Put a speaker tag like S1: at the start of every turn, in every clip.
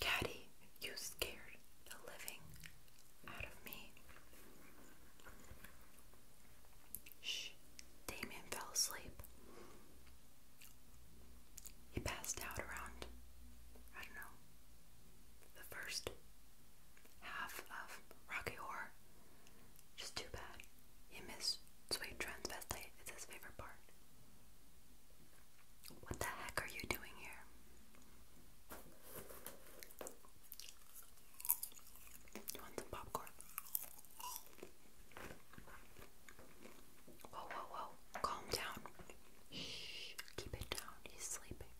S1: Caddy, you scared the living out of me. Shh, Damien fell asleep. He passed out around, I don't know, the first half of Rocky Horror. Just too bad. He missed Sweet Transvestite. It's his favorite part. What the heck are you doing here? you want some popcorn? Whoa, whoa, whoa. Calm down. Shh. Keep it down. He's sleeping.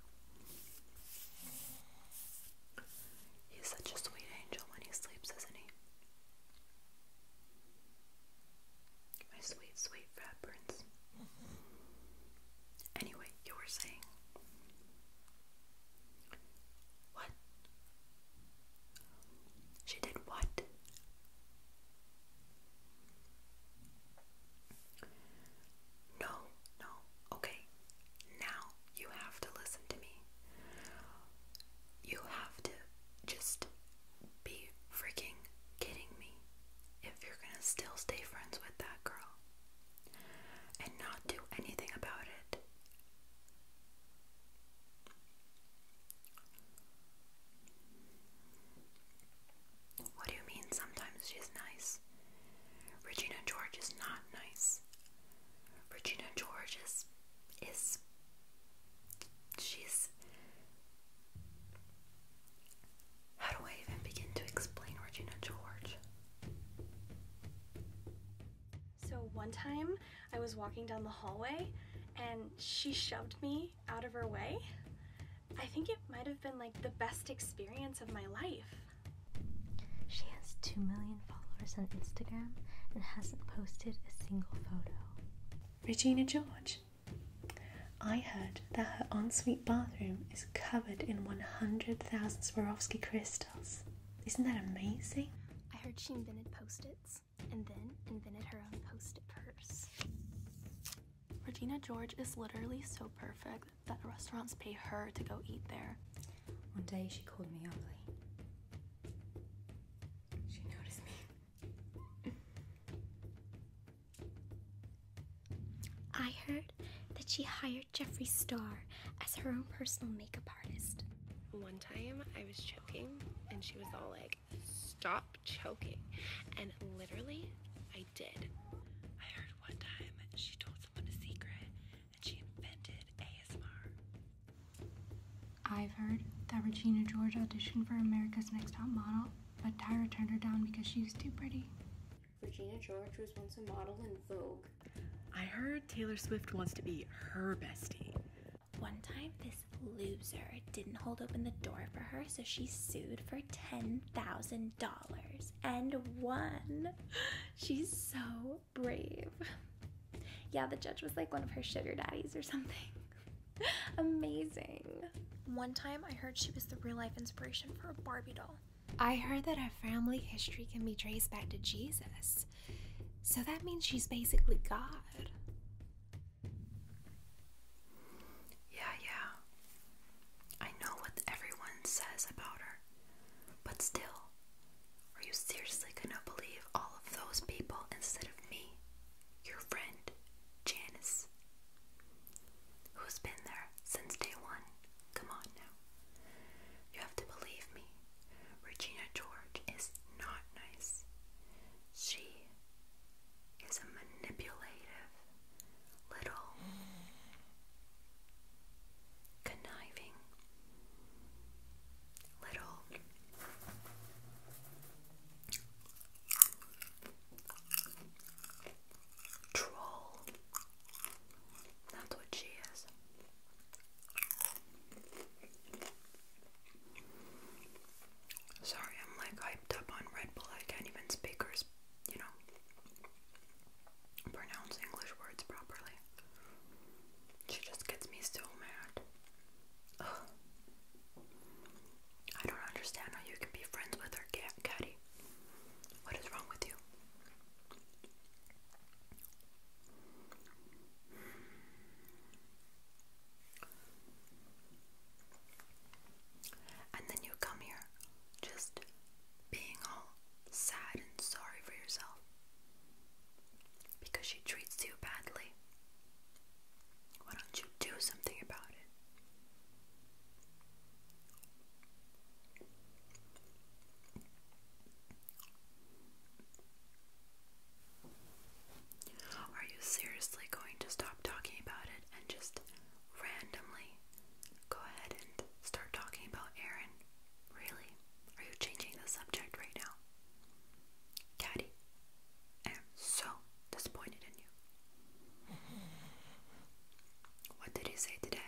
S1: He's such a sweet angel when he sleeps, isn't he? My sweet, sweet fat Anyway, you were saying. What? She did what? No, no, okay. Now you have to listen to me. You have to just be freaking kidding me if you're gonna still stay friends with that girl and not do anything about it. What do you mean sometimes she's nice? Regina George is not nice. Regina George is is she's how do I even begin to explain Regina George? So one time I was walking down the hallway and she shoved me out of her way. I think it might have been like the best experience of my life. She has 2 million followers on Instagram and hasn't posted a single photo. Regina George. I heard that her ensuite bathroom is covered in 100,000 Swarovski crystals. Isn't that amazing? I heard she invented post its and then invented her own post-it purse. Regina George is literally so perfect that restaurants pay her to go eat there. One day she called me ugly. She noticed me. I heard that she hired Jeffree Star as her own personal makeup artist. One time I was and she was all like, stop choking. And literally, I did. I heard one time she told someone a secret and she invented ASMR. I've heard that Regina George auditioned for America's Next Top Model, but Tyra turned her down because she was too pretty. Regina George was once a model in Vogue. I heard Taylor Swift wants to be her bestie. One time, this loser didn't hold open the door for her, so she sued for $10,000 and won. She's so brave. Yeah, the judge was like one of her sugar daddies or something. Amazing. One time, I heard she was the real life inspiration for a Barbie doll. I heard that her family history can be traced back to Jesus. So that means she's basically God. Yeah, yeah. I know what everyone says about her. But still, are you seriously gonna believe all of those people instead of me, your friend, Janice? Who's been there since day one? Come on now. You have to believe me. Regina George is not nice. She is a manipulative, little, conniving, little troll. That's what she is. Sorry, I'm like hyped up on Red Bull. I can't even speak or, you know, pronounce English words properly. She just gets me so mad. I don't understand how you can be friends with her, Caddy. What is wrong with you? And then you come here just being all sad and sorry for yourself because she treats you badly. Why don't you do something about it? Are you seriously going to stop talking about it and just randomly go ahead and start talking about Aaron? Really? Are you changing the subject right now? Caddy, I am so disappointed in you. What did he say today?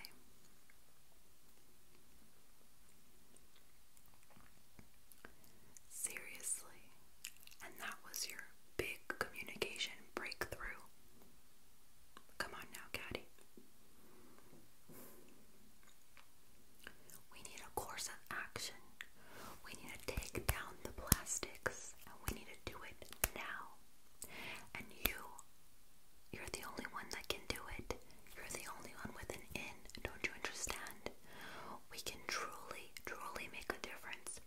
S1: Seriously. And that was your big communication breakthrough. Come on now, Caddy. We need a course of action. We need to take down the plastics we need to do it now. And you, you're the only one that can do it. You're the only one with an in, don't you understand? We can truly, truly make a difference.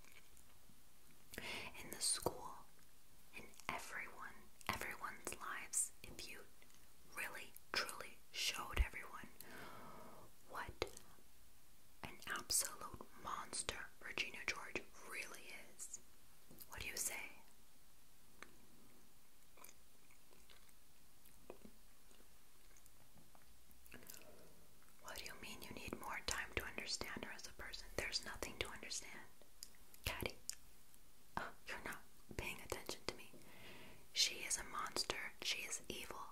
S1: In the school, in everyone, everyone's lives, if you really, truly showed everyone what an absolute monster Virginia George really is. What do you say? What do you mean you need more time to understand her as a person? There's nothing to understand. Caddy, uh, you're not paying attention to me. She is a monster. She is evil.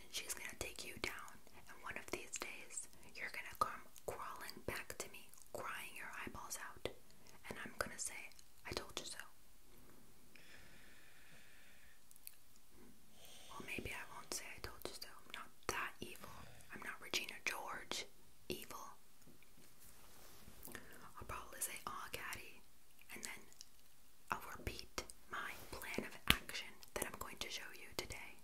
S1: And she's gonna take you down. And one of these days, you're gonna come crawling back to me, crying your eyeballs out. And I'm gonna say, I told you so. Well, maybe I won't say I told you so. I'm not that evil. I'm not Regina George evil. I'll probably say, aw, Caddy, and then I'll repeat my plan of action that I'm going to show you today.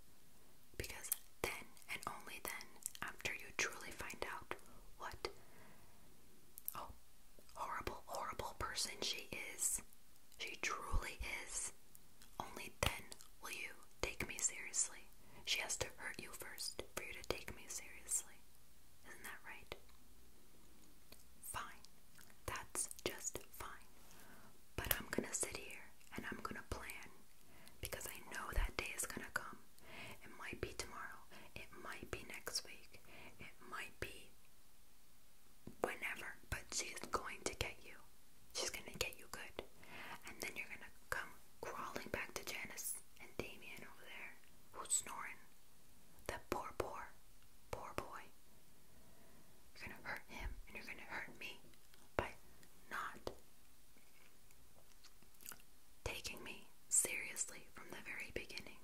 S1: Because then, and only then, after you truly find out what Oh, horrible, horrible person she is. She truly is. Only then will you take me seriously. She has to hurt you first for you to take me seriously. Isn't that right? Fine. That's just fine. But I'm gonna sit here and I'm gonna plan because I know that day is gonna come. It might be tomorrow, it might be next week. It might be whenever, but she's going to get you. She's going to get you good. And then you're going to come crawling back to Janice and Damien over there, who's snoring. That poor, poor, poor boy. You're going to hurt him and you're going to hurt me by not taking me seriously from the very beginning.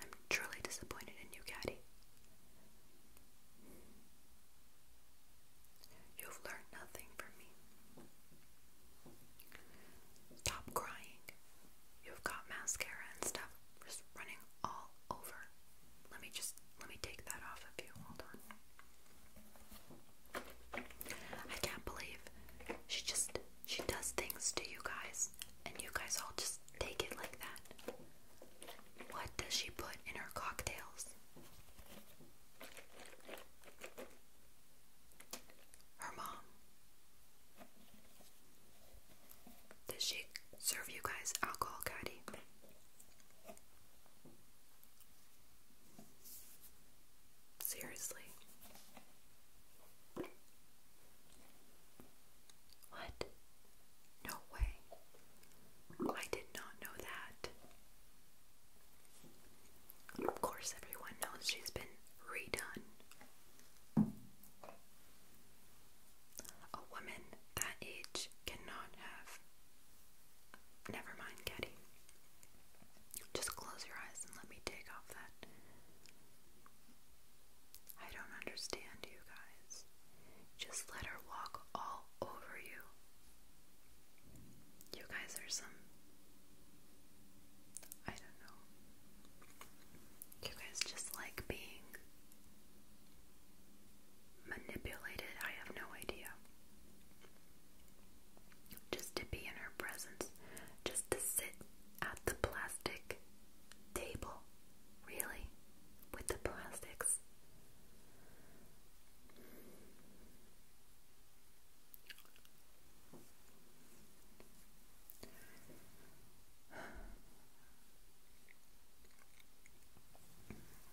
S1: I'm truly disappointed in you, Caddy. You've learned nothing from me. Stop crying. You've got mascara and stuff just running all over. Let me just let me take that off of you. Hold on. I can't believe she just she does things to you guys, and you guys all just take it like that. What does she put in her cocktails? Her mom. Does she serve you guys alcohol caddy? Seriously. What? No way. I did not know that. Of course, everyone knows she's been redone. A woman that age cannot have. Never mind, Caddy. Just close your eyes and let me take off that I don't understand you guys. Just let her walk all over you. You guys are some. I don't know. You guys just like being manipulated. I have no idea. Just to be in her presence just to sit at the plastic table, really, with the plastics.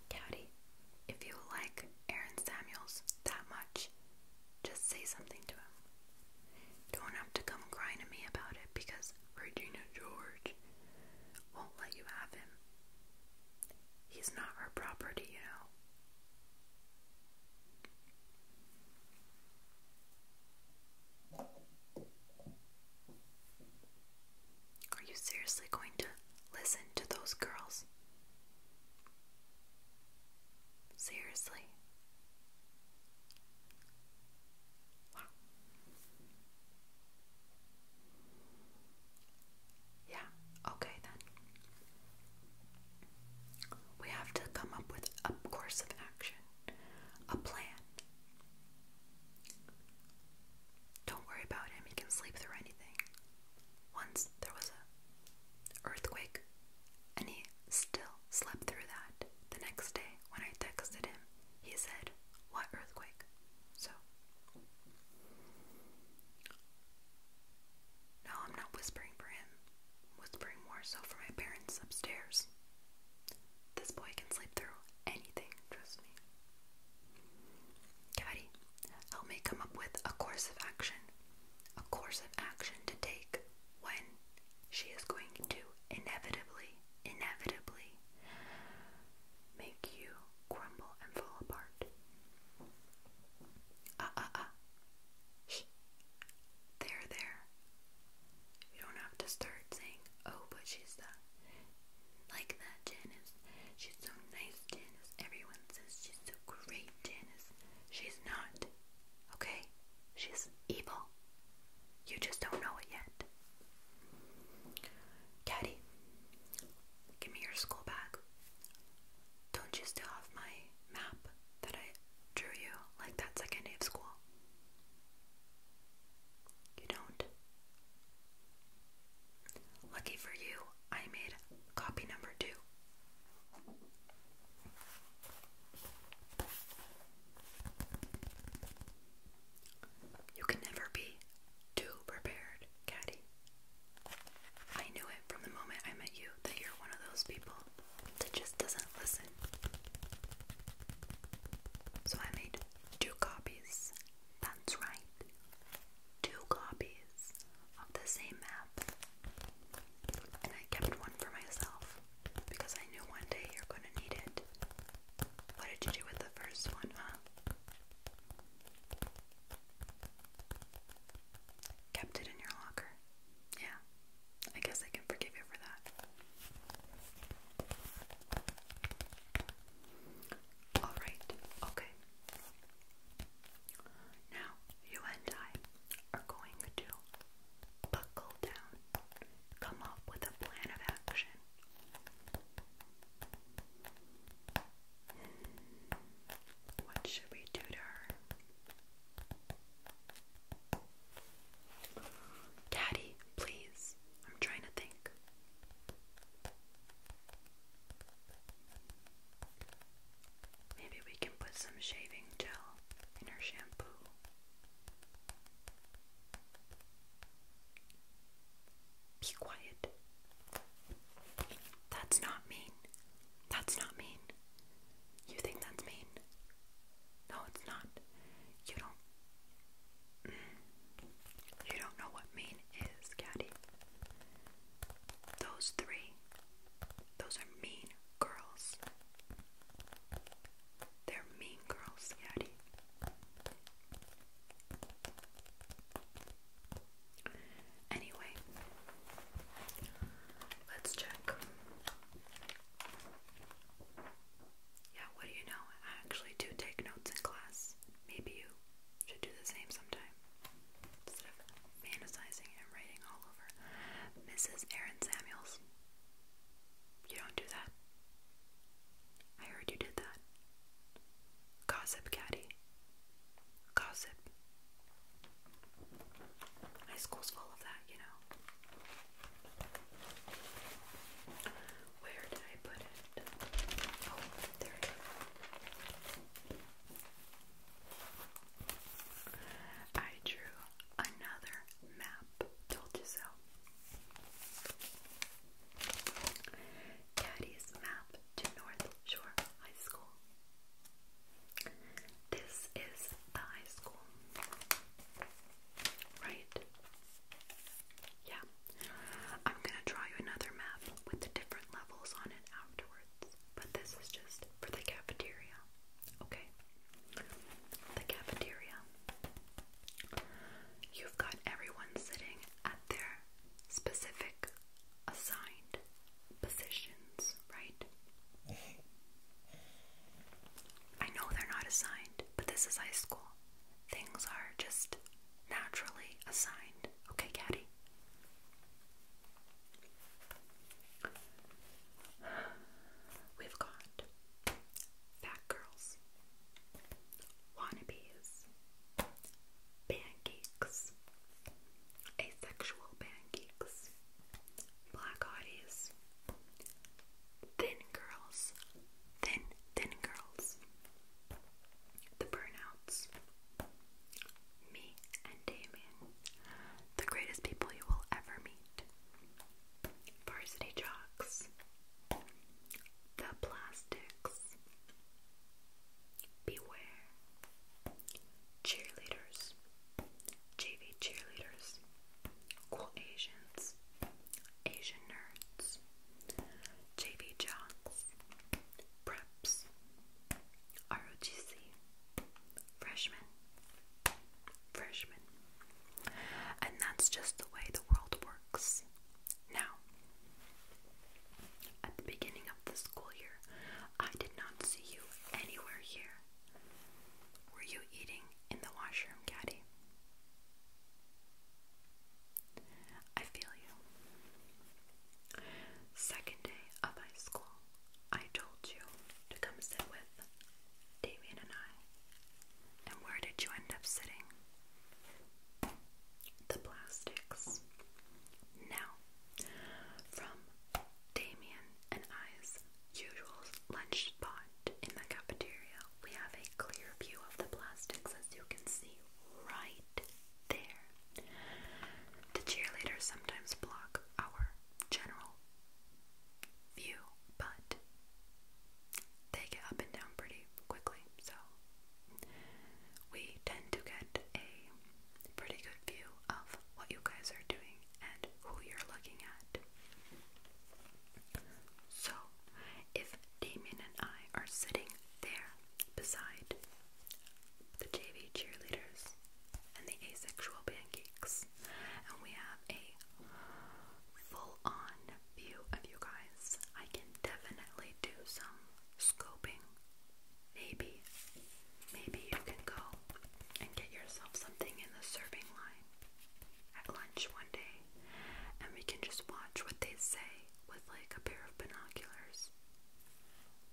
S1: Daddy, if you like Aaron Samuels that much, just say something to him. Don't have to come crying to me about it because Regina George won't let you have him. He's not her property, you Are you seriously going to listen to those girls? Seriously, yeah, okay then. We have to come up with a course of action, a plan. Don't worry about him, he can sleep through anything. Once there was a earthquake and he still slept through that. The next day, when I texted him, he said, What earthquake? So, no, I'm not whispering for him. whispering more so for my parents upstairs. This boy can sleep through anything, trust me. Caddy, help me come up with a course of action. A course of action to take when she is going to inevitably, inevitably make you crumble and fall apart. Ah, ah, ah. Shh. There, there. You don't have to start saying, oh, but she's the, like that, Janice. She's so nice, Janice. Everyone says she's so great, Janice. She's not. Okay? She's evil. You just don't know it yet. Daddy, give me your school bag. Don't you still have my map that I drew you like that second day of school? You don't? Lucky for you, I made copy number two you can never be too prepared, Caddy. I knew it from the moment I met you that you're one of those people that just doesn't listen. So I made two copies. That's right. Two copies of the same map and I kept one for myself because I knew one day you're going to need it. What did you do with the first one, Kept it in your locker. Yeah, I guess I can forgive you for that. Alright, okay. Now, you and I are going to buckle down, come up with a plan of action. What should we do to her? Daddy, please. I'm trying to think. Maybe we can put some shaving gel in her shampoo. Be quiet. That's not mean. That's not mean. You think that's mean? No, it's not. You don't. Mm. You don't know what mean is, Caddy. Those three, those are mean girls. They're mean girls, Yeti. Anyway, let's check. Yeah, what do you know? I actually do take notes in class. Maybe you should do the same sometime fantasizing and writing all over. Mrs. Aaron Samuels. You don't do that. I heard you did that. Gossip Caddy. Gossip. My school's full of that, you know. Where did I put it? Oh, there it is. I drew another map, told you so. Daddy's map to North Shore High School. This is the high school, right? Yeah. I'm gonna draw you another map with the different levels on it afterwards, but this is just for the cafeteria. Okay. The cafeteria. You've got everyone sitting at their specific assigned positions, right? I know they're not assigned, but this is high school. Things are just naturally assigned. Okay, Caddy? We've got fat girls, wannabes, pancakes, asexual pancakes, black thin girls, thin, thin girls, the burnouts, me and Damien, the greatest people you will ever meet. Varsity Jocks, The Plastics, Beware, Cheerleaders, JV Cheerleaders, Cool Asians, Asian Nerds, JV Jocks, Preps, ROTC, Freshman. Freshman. And that's just the way the world works. Now, at the beginning of the school year, I did not see you anywhere here. Were you eating in the washroom, Caddy? I feel you. Second day of high school. I told you to come sit with Damien and I. And where did you end up sitting? The plastics. Now, from Damien and I's usual lunch spot in the cafeteria, we have a clear view of the plastics as you can see right there. The cheerleaders sometimes block our general view, but they get up and down pretty quickly, so we tend to get a pretty good view of what you guys are doing and who you're looking at. So, if Damien and I are sitting there beside the JV cheerleaders, and the asexual pancakes. And we have a full on view of you guys. I can definitely do some scoping. Maybe, maybe you can go and get yourself something in the serving line at lunch one day, and we can just watch what they say with like a pair of binoculars.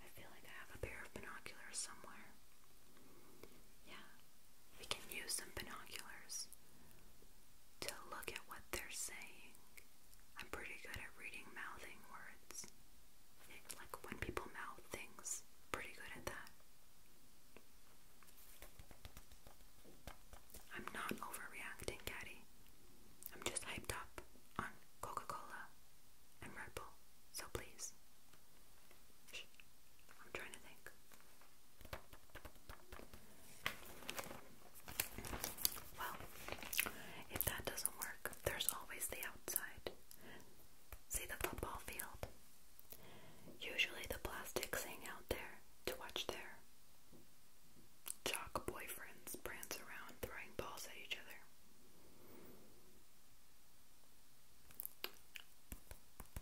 S1: I feel like I have a pair of binoculars somewhere. Yeah, we can use some binoculars to look at what they're saying. I'm pretty good at reading mouthing words. Like when people mouth things, pretty good at that. I'm not overreacting, Caddy. I'm just hyped up on Coca Cola and Red Bull. So please. I'm trying to think. Well, if that doesn't work, there's always the outside. See the football field? Usually the plastics hang out there to watch their jock boyfriends prance around throwing balls at each other.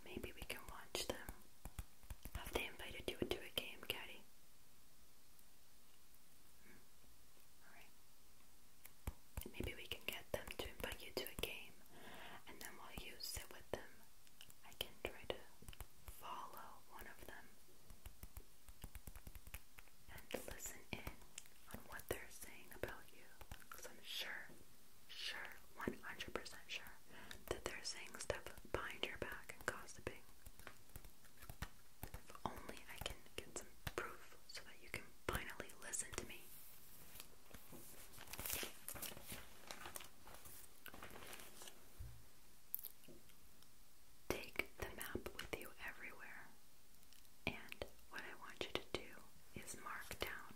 S1: Maybe we can watch them. Have they invited you to a game, Caddy? Hmm. Maybe we can get them to invite you to a game, and then while you sit with them, I can try to follow one of them and listen in on what they're saying about you. Because I'm sure, sure, 100% sure that they're saying stuff behind your back and gossiping. If only I can get some proof so that you can finally listen to me. Take the map with you everywhere. And what I want you to do is mark down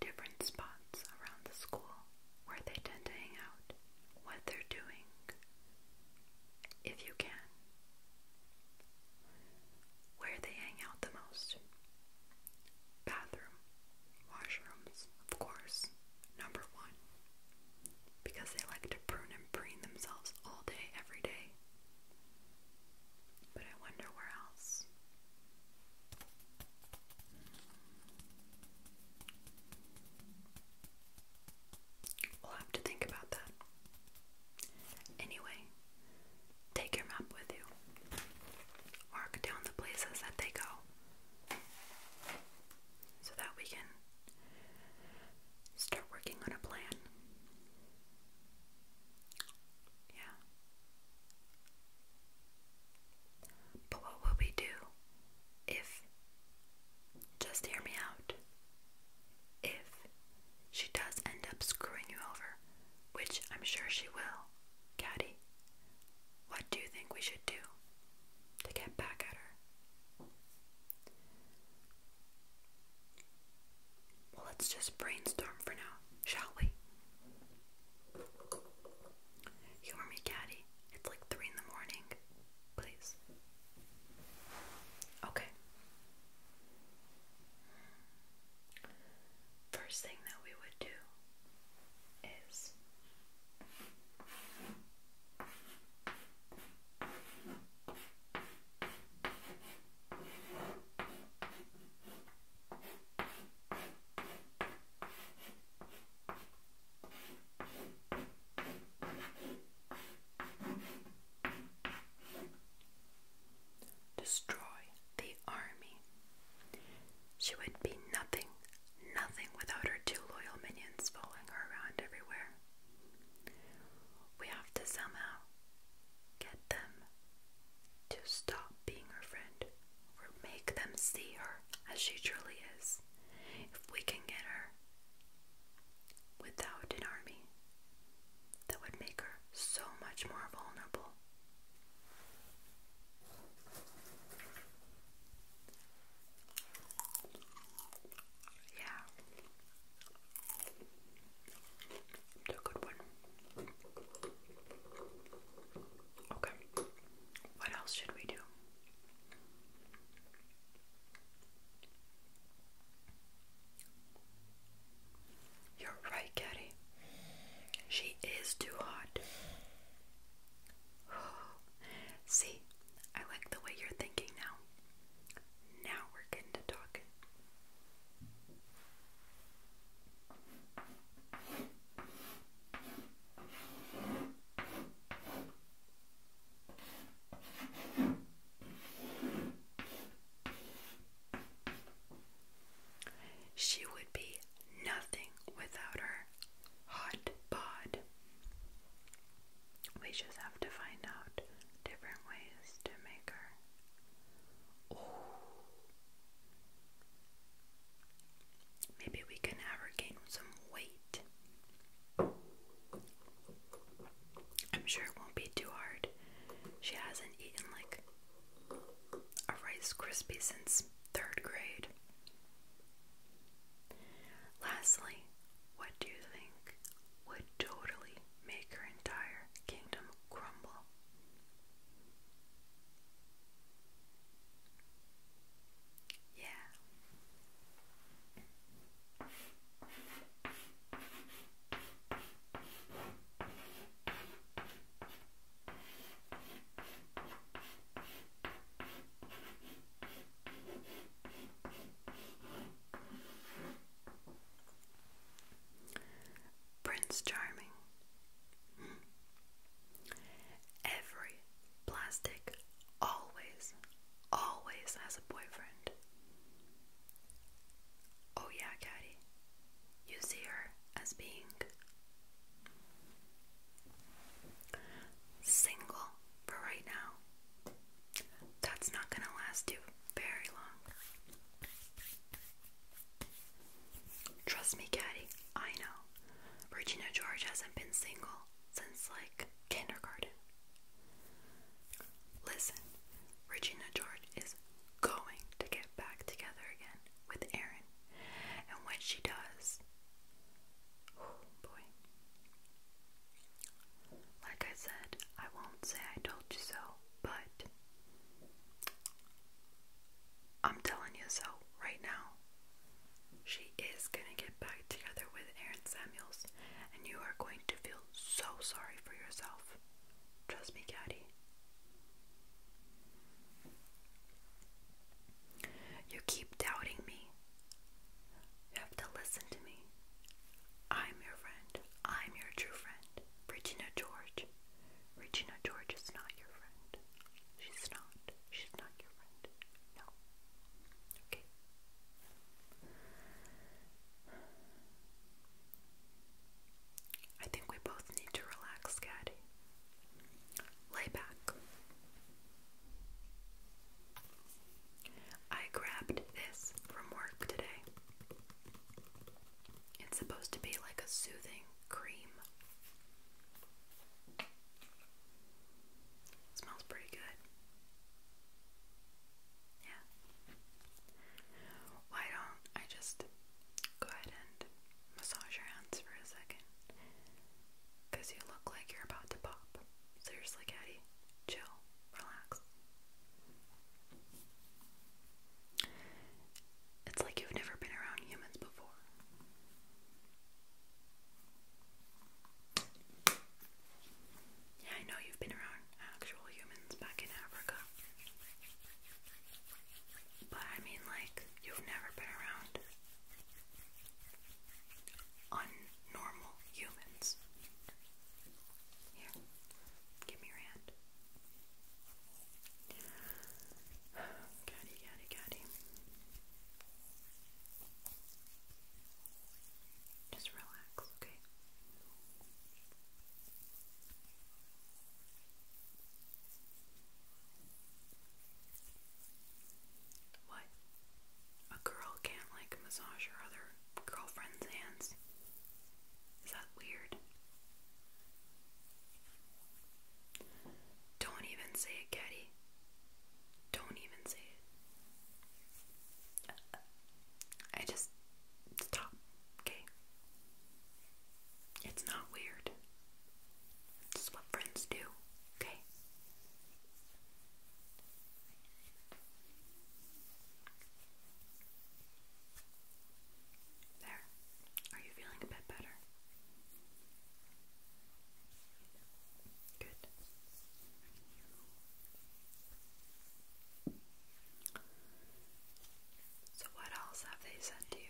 S1: different spots around the school where they tend to hang out, what they're doing, if you can, where they hang out the most. Bathroom, washrooms, of course, number one. Because they like to prune and preen themselves all day, every day. But I wonder where else. We'll have to think about that. Anyway, take your map with you. Mark down the places that they go so that we can Start working on a plan. Yeah. But what would we do if, just hear me out, if she does end up screwing you over, which I'm sure she will, Caddy, what do you think we should do to get back at her? let's just brainstorm for now, shall we? Humor me, Caddy. It's like three in the morning. Please. Okay. First thing that we would do is. Destroy the army. She would be nothing, nothing without her two loyal minions following her around everywhere. We have to somehow get them to stop being her friend or make them see her as she truly is. If we can get her without an army, that would make her so much more vulnerable. Yeah a good one. Okay. What else should we do? You're right, Caddy. She is too hot. See, I like the way you're thinking now now we're getting to talking. She would be nothing without her hot bod. We just have to find out different ways to make her. Oh. Maybe we can ever gain some weight. I'm sure it won't be too hard. She hasn't eaten like a Rice Krispie since third grade. Lastly, what do you think would totally make her entire kingdom crumble. Yeah. Prince Charming. Every plastic always, always has a boyfriend. Oh, yeah, Caddy. You see her as being single for right now. That's not going to last you very long. Trust me, Caddy, I know. Regina George hasn't been single since like kindergarten. Listen, Regina George is going to get back together again with Aaron. And when she does, oh boy, like I said, I won't say I told you so, but I'm telling you so right now. She is gonna get back together with Aaron Samuels, and you are going to feel so sorry for yourself. Trust me, Caddy. You keep doubting me. You have to listen to me. I'm your friend. I'm your true friend. Regina George. Regina George is not your friend. She's not. She's not your friend. No. Okay. I think we both need to relax, Caddy. Lay back. I grabbed this from work today. It's supposed to be like a soothing cream. smells pretty good. Yeah. Why don't I just go ahead and massage your hands for a second? Because you look like you're about to pop. Seriously, Caddy, chill relax. It's like you've never been around humans before. Yeah, I know you've been around actual humans back in Africa. But I mean, like, you've never been around normal humans. Here, give me your hand. Catty, catty, catty. Just relax, okay? What? a girl can't like massage her other girlfriend's hands. Is that weird? Don't even say it, Caddy. Don't even say it. I just stop, okay? It's not weird. It's what friends do, okay? There. Are you feeling a bit better? Good. So, what else have they said to you?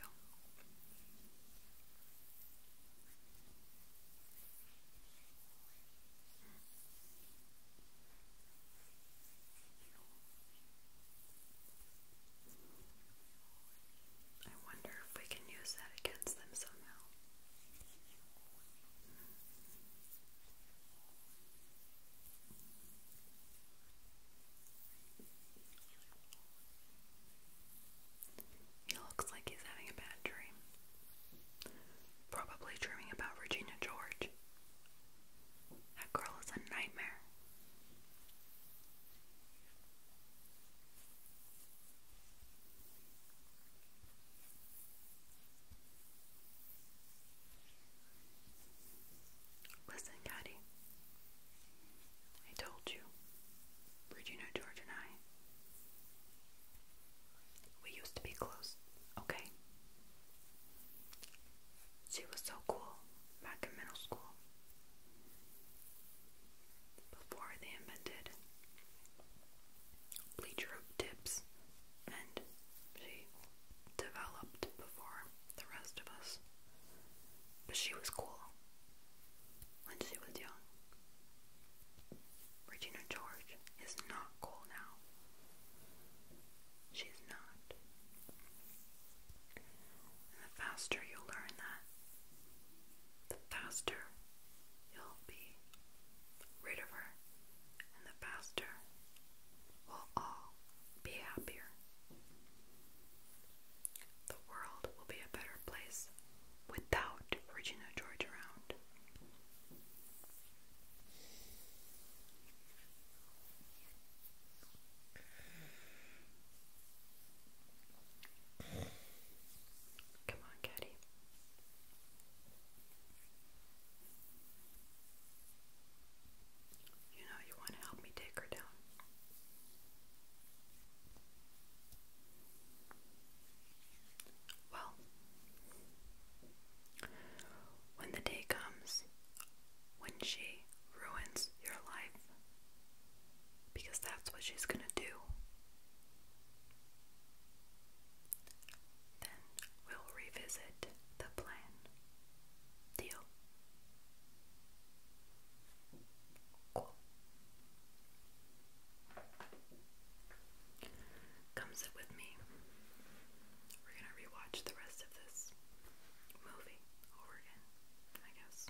S1: I wonder if we can use that against them somehow. He looks like he's having a bad dream. Probably dreaming about Regina George. That girl is a nightmare. Listen, Caddy. I told you. Regina George and I we used to be close, okay? She was so cool back in middle school. Before they invented bleach tips, and she developed before the rest of us. But she was cool when she was young. Regina George is not cool now. She's not. the faster you learn that, the faster you'll be rid of her, and the faster we'll all be happier. The world will be a better place without Regina George around. Come on, Caddy. You know you want to help me take her down. Well, when the day comes when she ruins your life, because that's what she's gonna do, then we'll revisit the plan. Deal. Cool. Come sit with me. We're gonna rewatch the rest of this movie over again, I guess.